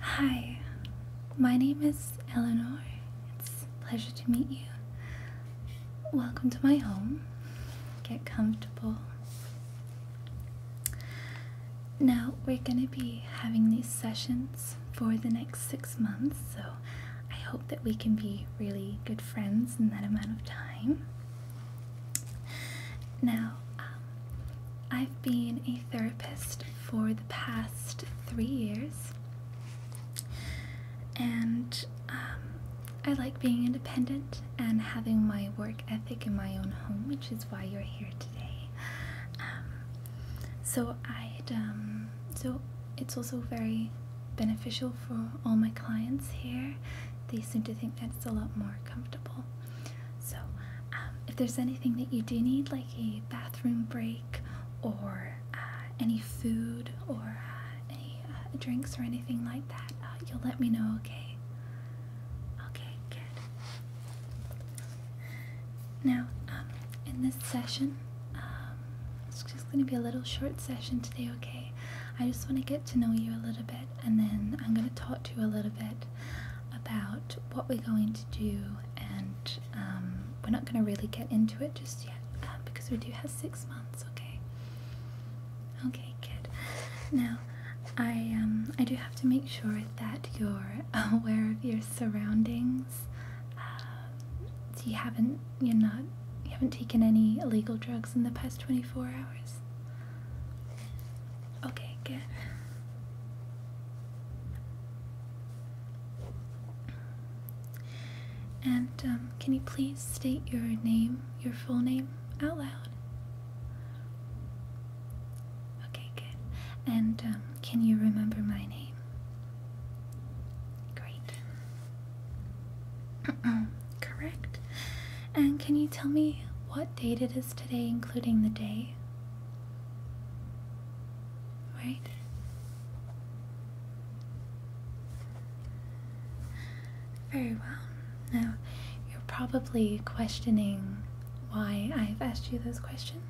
Hi, my name is Eleanor. It's a pleasure to meet you. Welcome to my home. Get comfortable. Now, we're going to be having these sessions for the next six months, so I hope that we can be really good friends in that amount of time. Now, um, I've been a therapist for the past three years, and um, I like being independent and having my work ethic in my own home, which is why you're here today. Um, so I'd um, so it's also very beneficial for all my clients here. They seem to think that's a lot more comfortable so, um, if there's anything that you do need, like a bathroom break or uh, any food or uh, any uh, drinks or anything like that, you'll let me know, okay? Okay, good. Now, um, in this session, um, it's just going to be a little short session today, okay? I just want to get to know you a little bit and then I'm going to talk to you a little bit about what we're going to do, and um, we're not going to really get into it just yet um, because we do have six months, okay? Okay, good. Now, I um, I do have to make sure that you're aware of your surroundings. Uh, you haven't you're not you haven't taken any illegal drugs in the past twenty four hours. Okay, good. And um, can you please state your name, your full name, out loud? Okay, good. And um, can you remember my name? Great. Correct. And can you tell me what date it is today including the day? Right? Very well. Now, you're probably questioning why I've asked you those questions.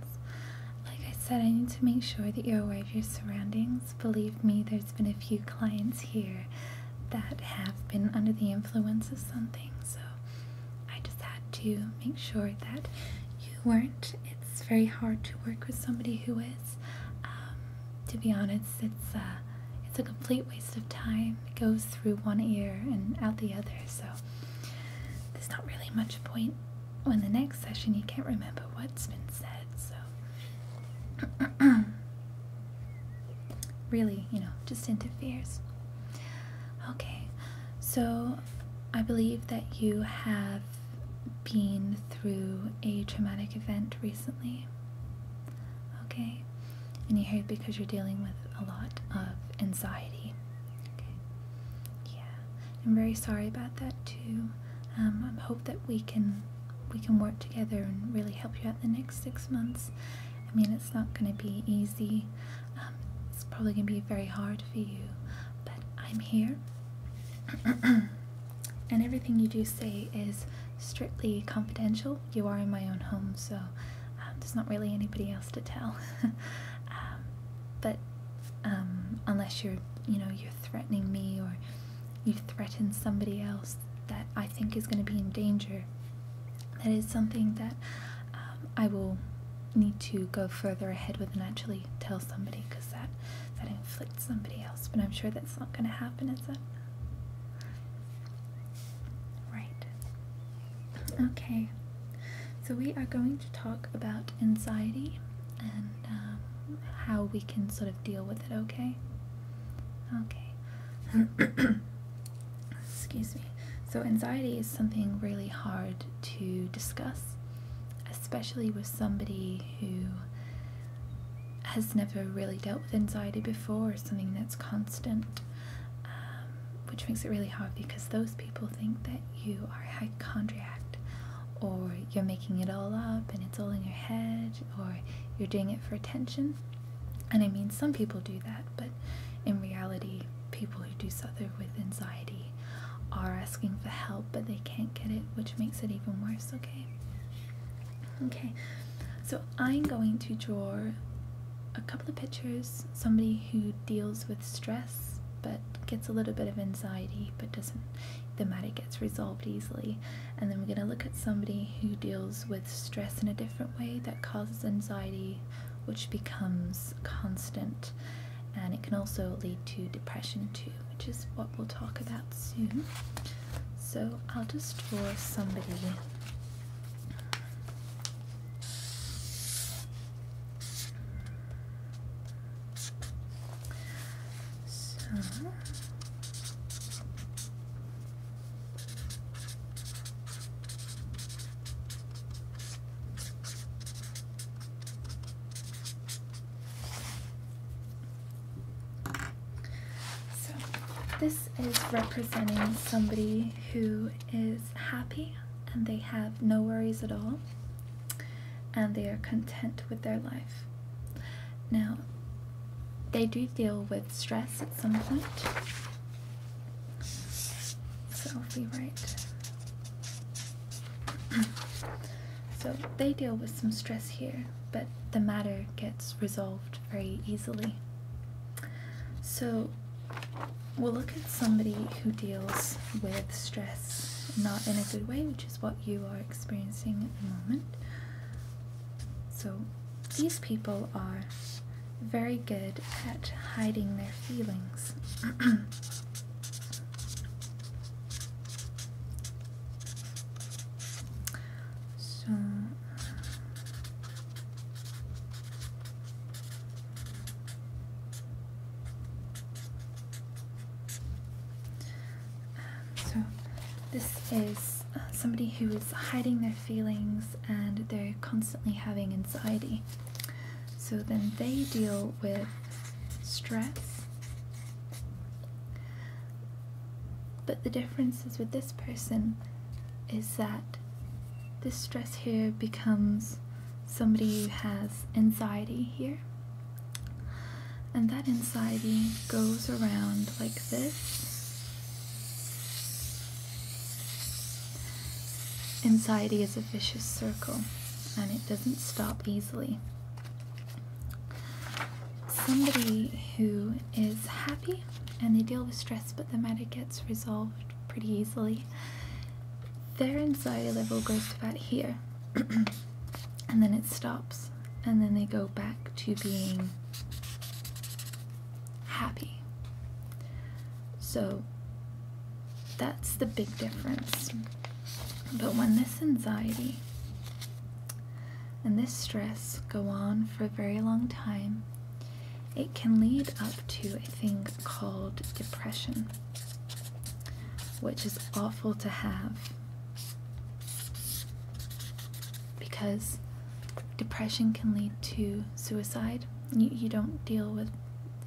Like I said, I need to make sure that you're aware of your surroundings. Believe me, there's been a few clients here that have been under the influence of something, so I just had to make sure that you weren't. It's very hard to work with somebody who is. Um, to be honest, it's uh, it's a complete waste of time. It goes through one ear and out the other, so there's not really much point when the next session you can't remember what's been said. So really, you know, just interferes. Okay, so I believe that you have been through a traumatic event recently. Okay, and you're here because you're dealing with a lot of anxiety. Okay, yeah, I'm very sorry about that too. Um, I hope that we can we can work together and really help you out the next six months I mean, it's not going to be easy. Um, it's probably going to be very hard for you, but I'm here. and everything you do say is strictly confidential. You are in my own home, so um, there's not really anybody else to tell. Um, but unless you're, you know, you're threatening me or you threaten somebody else that I think is going to be in danger, that is something that um, I will need to go further ahead with and actually tell somebody because that that inflicts somebody else. But I'm sure that's not going to happen, is it? Right. Okay. So we are going to talk about anxiety and um, how we can sort of deal with it. Okay. Okay. Excuse me. So, anxiety is something really hard to discuss, especially with somebody who has never really dealt with anxiety before or something that's constant, um, which makes it really hard because those people think that you are a hypochondriac or you're making it all up and it's all in your head or you're doing it for attention. And I mean, some people do that, but in reality, people who do suffer with anxiety are asking for help, but they can't get it, which makes it even worse, okay? Okay, so I'm going to draw a couple of pictures somebody who deals with stress but gets a little bit of anxiety but doesn't the matter gets resolved easily and then we're going to look at somebody who deals with stress in a different way that causes anxiety, which becomes constant, and it can also lead to depression, too, which is what we'll talk about soon. So, I'll just draw somebody. So, so, this is representing somebody who is happy and they have no worries at all and they are content with their life. Now, they do deal with stress at some point, so we write. so they deal with some stress here, but the matter gets resolved very easily. So we'll look at somebody who deals with stress not in a good way, which is what you are experiencing at the moment. So these people are very good at hiding their feelings. so um, so this is uh, somebody who is hiding their feelings and they're constantly having anxiety. So then they deal with stress. But the difference is with this person is that this stress here becomes somebody who has anxiety here. And that anxiety goes around like this. Anxiety is a vicious circle and it doesn't stop easily. Somebody who is happy and they deal with stress, but the matter gets resolved pretty easily, their anxiety level goes to about here and then it stops, and then they go back to being happy. So that's the big difference. But when this anxiety and this stress go on for a very long time, it can lead up to a thing called depression, which is awful to have because depression can lead to suicide. You, you don't deal with,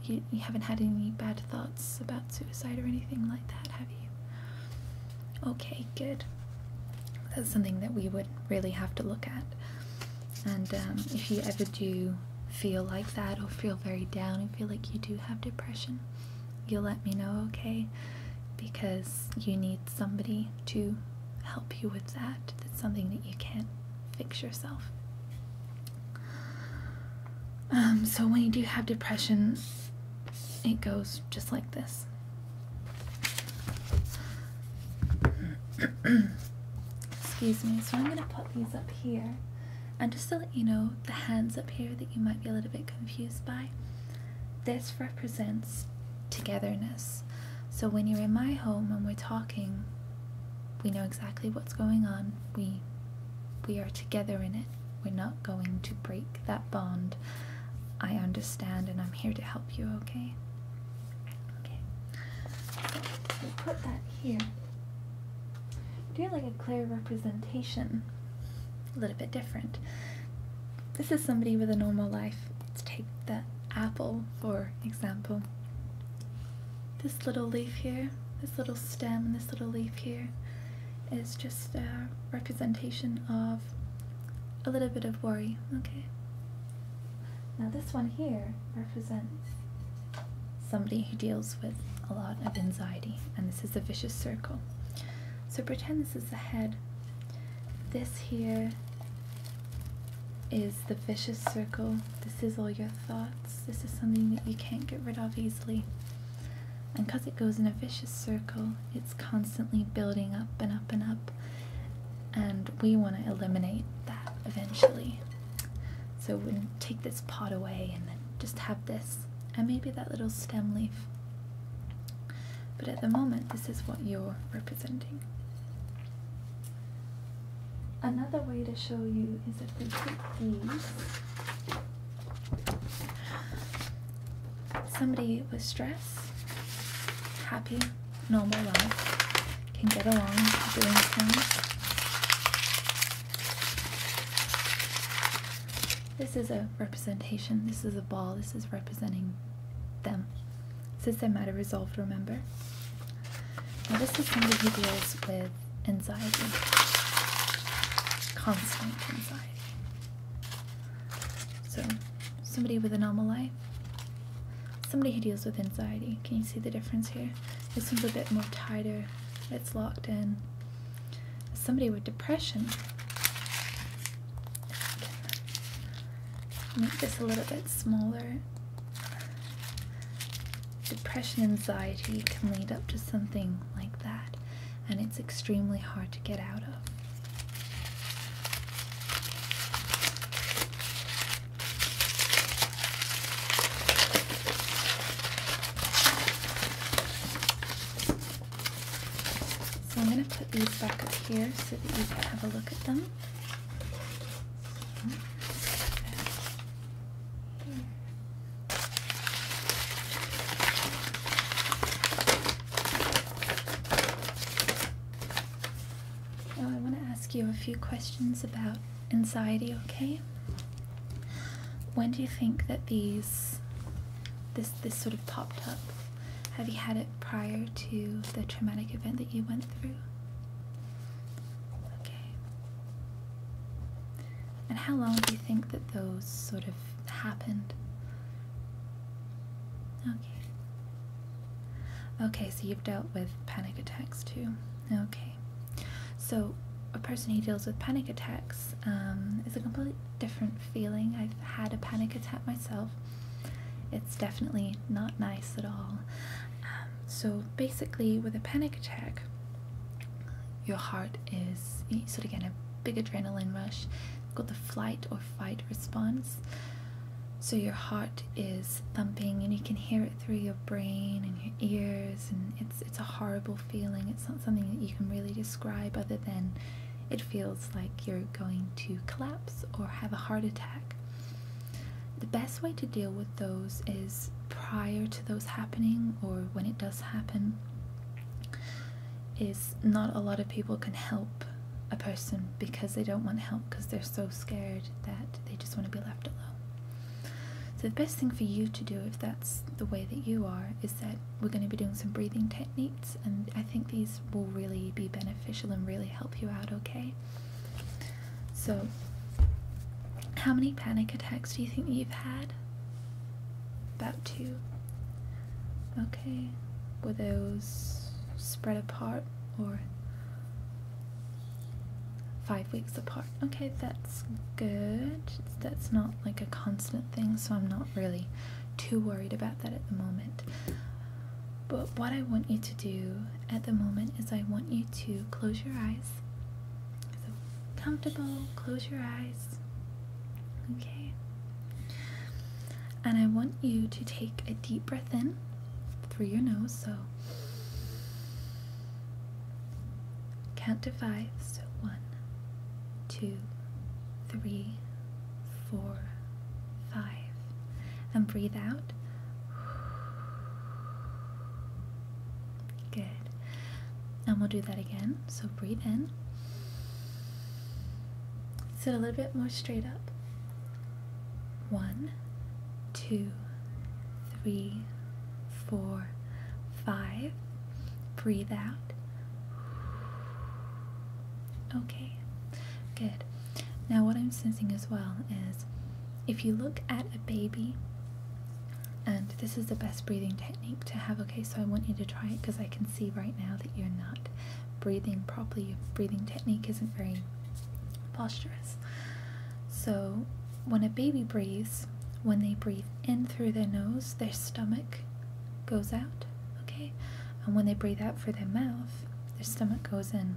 you, you haven't had any bad thoughts about suicide or anything like that, have you? Okay, good. That's something that we would really have to look at. And um, if you ever do feel like that or feel very down and feel like you do have depression, you'll let me know, okay? Because you need somebody to help you with that. It's something that you can't fix yourself. Um, so when you do have depression, it goes just like this. Excuse me. So I'm going to put these up here. And just to let you know, the hands up here that you might be a little bit confused by, this represents togetherness. So when you're in my home and we're talking, we know exactly what's going on. We we are together in it. We're not going to break that bond. I understand and I'm here to help you, okay? Okay. So put that here. Do like a clear representation. A little bit different. This is somebody with a normal life Let's take that apple for example. This little leaf here, this little stem, this little leaf here is just a representation of a little bit of worry, okay? Now this one here represents somebody who deals with a lot of anxiety, and this is a vicious circle. So pretend this is the head, this here is the vicious circle. This is all your thoughts. This is something that you can't get rid of easily. And because it goes in a vicious circle, it's constantly building up and up and up. And we want to eliminate that eventually. So we take this pot away and then just have this. And maybe that little stem leaf. But at the moment, this is what you're representing. Another way to show you is if we put these. Somebody with stress, happy, normal life, can get along doing things. This is a representation, this is a ball, this is representing them. This they a matter resolved, remember? Now, this is somebody who deals with anxiety, constant anxiety. So, somebody with anomaly, somebody who deals with anxiety. Can you see the difference here? This one's a bit more tighter, it's locked in. Somebody with depression. Make this a little bit smaller Depression, anxiety can lead up to something like that, and it's extremely hard to get out of. So I'm going to put these back up here so that you can have a look at them. I want to ask you a few questions about anxiety, okay? When do you think that these, this, this sort of popped up? Have you had it prior to the traumatic event that you went through? Okay. And how long do you think that those sort of happened? Okay. Okay, so you've dealt with panic attacks too. Okay. So, a person who deals with panic attacks um, is a completely different feeling. I've had a panic attack myself, it's definitely not nice at all. Um, so, basically, with a panic attack, your heart is sort of getting a big adrenaline rush, called the flight or fight response. So, your heart is thumping and you can hear it through your brain and your ears, and it's, it's a horrible feeling. It's not something that you can really describe other than it feels like you're going to collapse or have a heart attack. The best way to deal with those is prior to those happening or when it does happen is not a lot of people can help a person because they don't want help because they're so scared that they just want to be left alone. So the best thing for you to do if that's the way that you are is that we're going to be doing some breathing techniques and I think these will really be beneficial and really help you out okay. So, how many panic attacks do you think you've had? About two. Okay. Were those spread apart or five weeks apart? Okay, that's good. That's not like a constant thing, so I'm not really too worried about that at the moment. But what I want you to do at the moment is I want you to close your eyes. So comfortable, close your eyes. Okay. And I want you to take a deep breath in through your nose. So count to five. So one, two, three, four, five. And breathe out. Good. And we'll do that again. So breathe in. Sit a little bit more straight up. One, two, three, four, five. Breathe out. Okay, good. Now, what I'm sensing as well is if you look at a baby, and this is the best breathing technique to have, okay? So I want you to try it because I can see right now that you're not breathing properly. Your breathing technique isn't very posturous. So when a baby breathes, when they breathe in through their nose, their stomach goes out, okay? And when they breathe out through their mouth, their stomach goes in.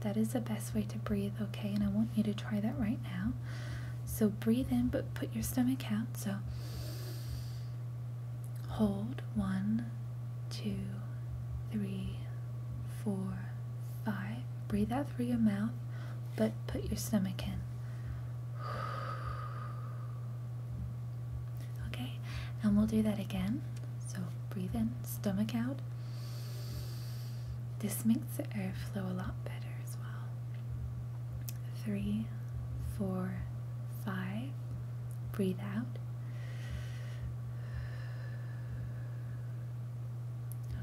That is the best way to breathe, okay? And I want you to try that right now. So breathe in, but put your stomach out. So hold one, two, three, four, five. Breathe out through your mouth, but put your stomach in. Okay, and we'll do that again. So breathe in, stomach out. This makes the air flow a lot better as well. Three, four, five. Breathe out.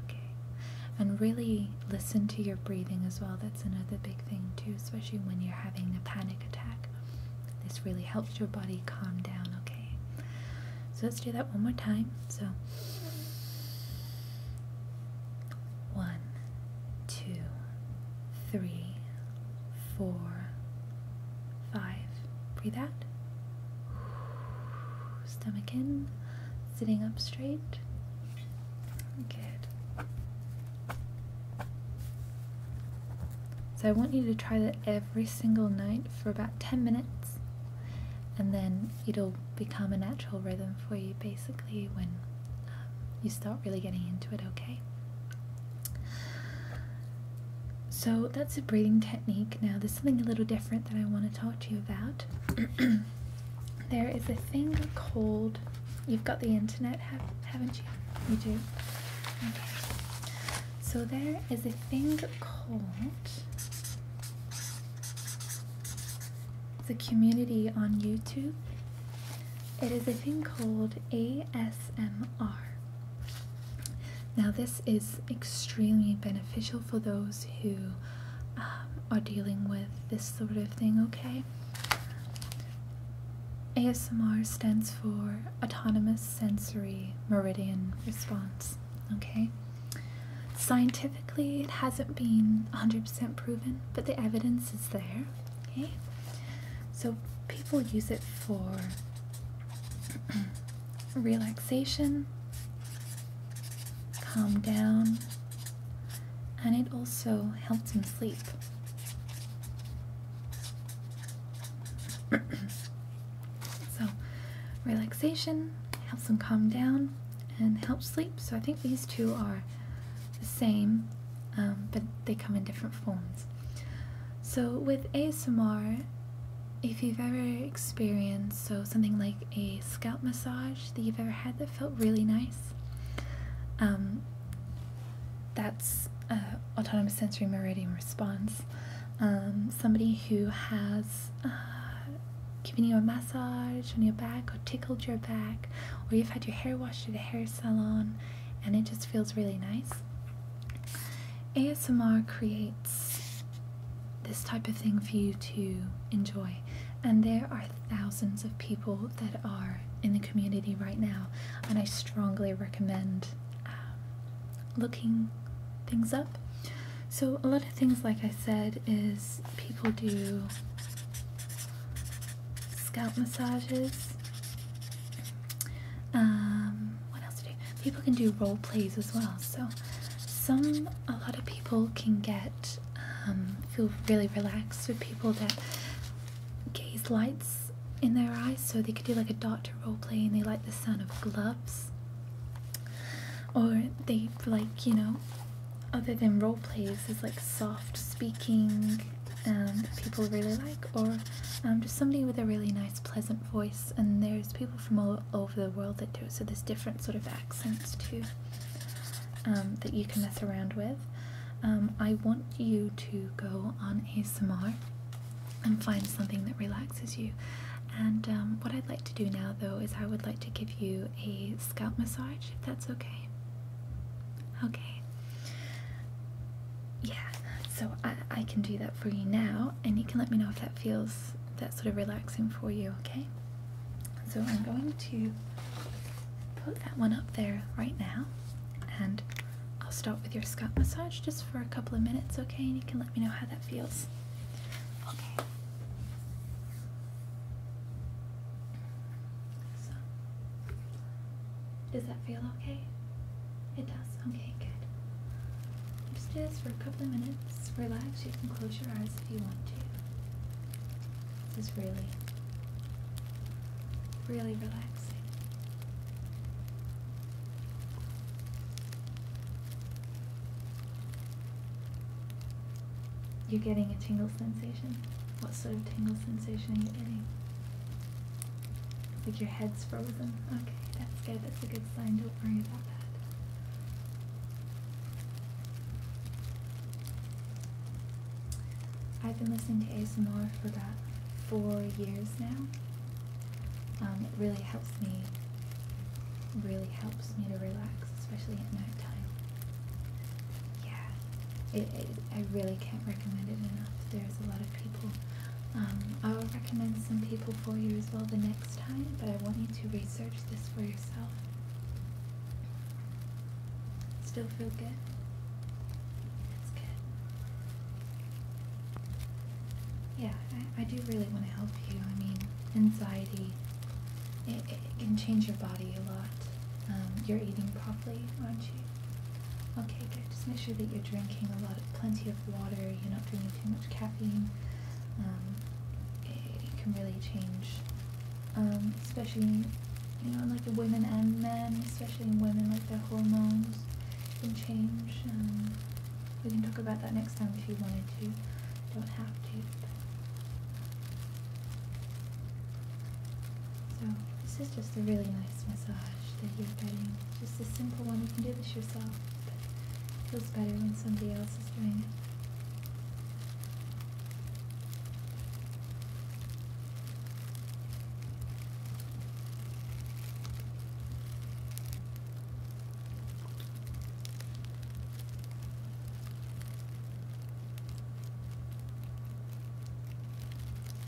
Okay, and really listen to your breathing as well. That's another big thing, too, especially when you're having a panic attack. This really helps your body calm down, okay? So let's do that one more time. So, one, two, three, four, five. Breathe out. Stomach in, sitting up straight. Good. So I want you to try that every every single night for about 10 minutes, and then it'll become a natural rhythm for you basically when um, you start really getting into it, okay? So that's a breathing technique. Now, there's something a little different that I want to talk to you about. there is a thing called, you've got the internet, have, not you? You do. So there is a thing called the community on YouTube. It is a thing called ASMR. Now, this is extremely beneficial for those who um, are dealing with this sort of thing, okay? ASMR stands for Autonomous sensory meridian response. Okay? Scientifically, it hasn't been 100% proven, but the evidence is there. Okay? So people use it for relaxation, calm down, and it also helps them sleep. So, relaxation helps them calm down and help sleep. So, I think these two are the same, um, but they come in different forms. So, with ASMR, if you've ever experienced so something like a scalp massage that you've ever had that felt really nice, um, that's uh, autonomous sensory meridian response. Um, somebody who has uh, given you a massage on your back or tickled your back, or you've had your hair washed at a hair salon and it just feels really nice. ASMR creates this type of thing for you to enjoy, and there are thousands of people that are in the community right now, and I strongly recommend um, looking things up. So, a lot of things, like I said, is people do scalp massages. Um, what else do do? People can do role plays as well. So, some, a lot of people can get, um, feel really relaxed with people that gaze lights in their eyes, so they could do like a doctor role play, and they like the sound of gloves. Or they like you know, other than role plays, is like soft speaking, um, people really like, or um, just somebody with a really nice, pleasant voice. And there's people from all over the world that do it, so there's different sort of accents too. Um, that you can mess around with. Um, I want you to go on ASMR and find something that relaxes you. And um, what I'd like to do now, though, is I would like to give you a scalp massage, if that's okay. Okay. Yeah, so I, I can do that for you now, and you can let me know if that feels that sort of relaxing for you, okay? So I'm going to put that one up there right now and I'll start with your scalp massage just for a couple of minutes, okay? And you can let me know how that feels. Okay. does that feel okay? It does. Okay, good. Just do this for a couple of minutes. Relax. You can close your eyes if you want to. This is really, really relaxing. You are getting a tingle sensation? What sort of tingle sensation are you getting? Like your head's frozen. Okay, that's good. That's a good sign. Don't worry about that. I've been listening to ASMR for about four years now. Um, it really helps me, really helps me to relax, especially at night time. Yeah, I really can't recommend it enough. There's a lot of people. Um, I'll recommend some people for you as well the next time, but I want you to research this for yourself. Still feel good? That's good. Yeah, I, I do really want to help you. I mean, anxiety, it, it can change your body a lot. Um, you're eating properly, aren't you? Okay, good. Just make sure that you're drinking a lot of plenty of water. You're not drinking too much caffeine. Um, it, can really change, um, especially you know, like the women and men, especially women, like their hormones can change. Um, we can talk about that next time if you wanted to. Don't have to. So this is just a really nice massage that you're getting. Just a simple one. You can do this yourself, feels better when somebody else is doing it.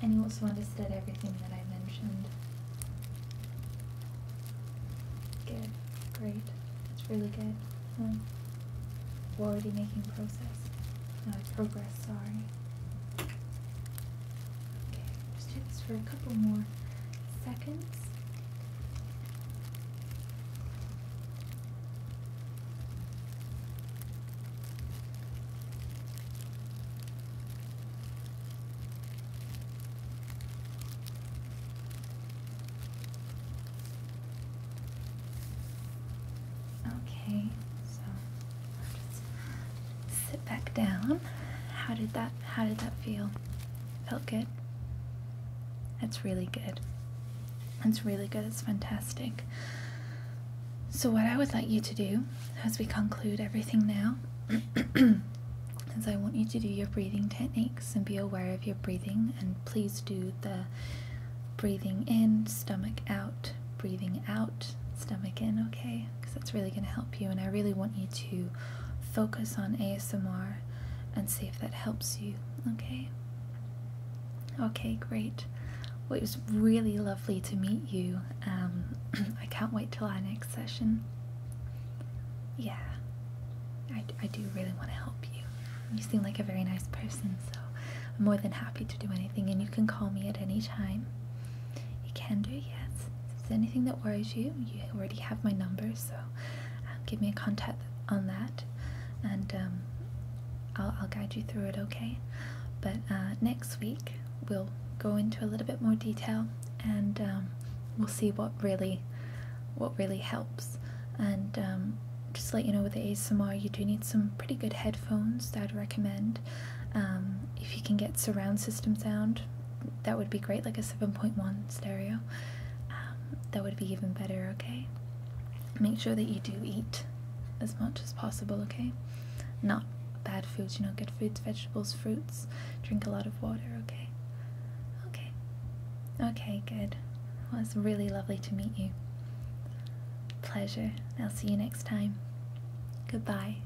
And you also understood everything that I mentioned. Good. Great. That's really good. We're already making progress. progress, sorry. Okay. Just do this for a couple more seconds. Okay, so sit back down. How did that how did that feel? Felt good? That's really good. That's really good. It's fantastic. So what I would like you to do as we conclude everything now is I want you to do your breathing techniques and be aware of your breathing and please do the breathing in, stomach out, breathing out, stomach in, okay? because that's really going to help you. And I really want you to focus on ASMR and see if that helps you, okay? Okay, great. Well, it was really lovely to meet you. Um, I can't wait till our next session. Yeah, I, I do really want to help you. You seem like a very nice person, so I'm more than happy to do anything. And you can call me at any time. You can do, yes. If there's anything that worries you, you already have my number, so um, give me a contact on that, and um, I'll, I'll guide you through it, okay? But uh, next week, we'll go into a little bit more detail, and um, we'll see what really, what really helps, and um, just let you know with the ASMR, you do need some pretty good headphones that I'd recommend. if you can get surround system sound, that would be great, like a 7.1 stereo. Um, that would be even better, okay? Make sure that you do eat as much as possible, okay? Not bad foods, you know, good foods, vegetables, fruits. Drink a lot of water, okay? Okay. Okay, good. Well, it's really lovely to meet you. Pleasure. I'll see you next time. Goodbye.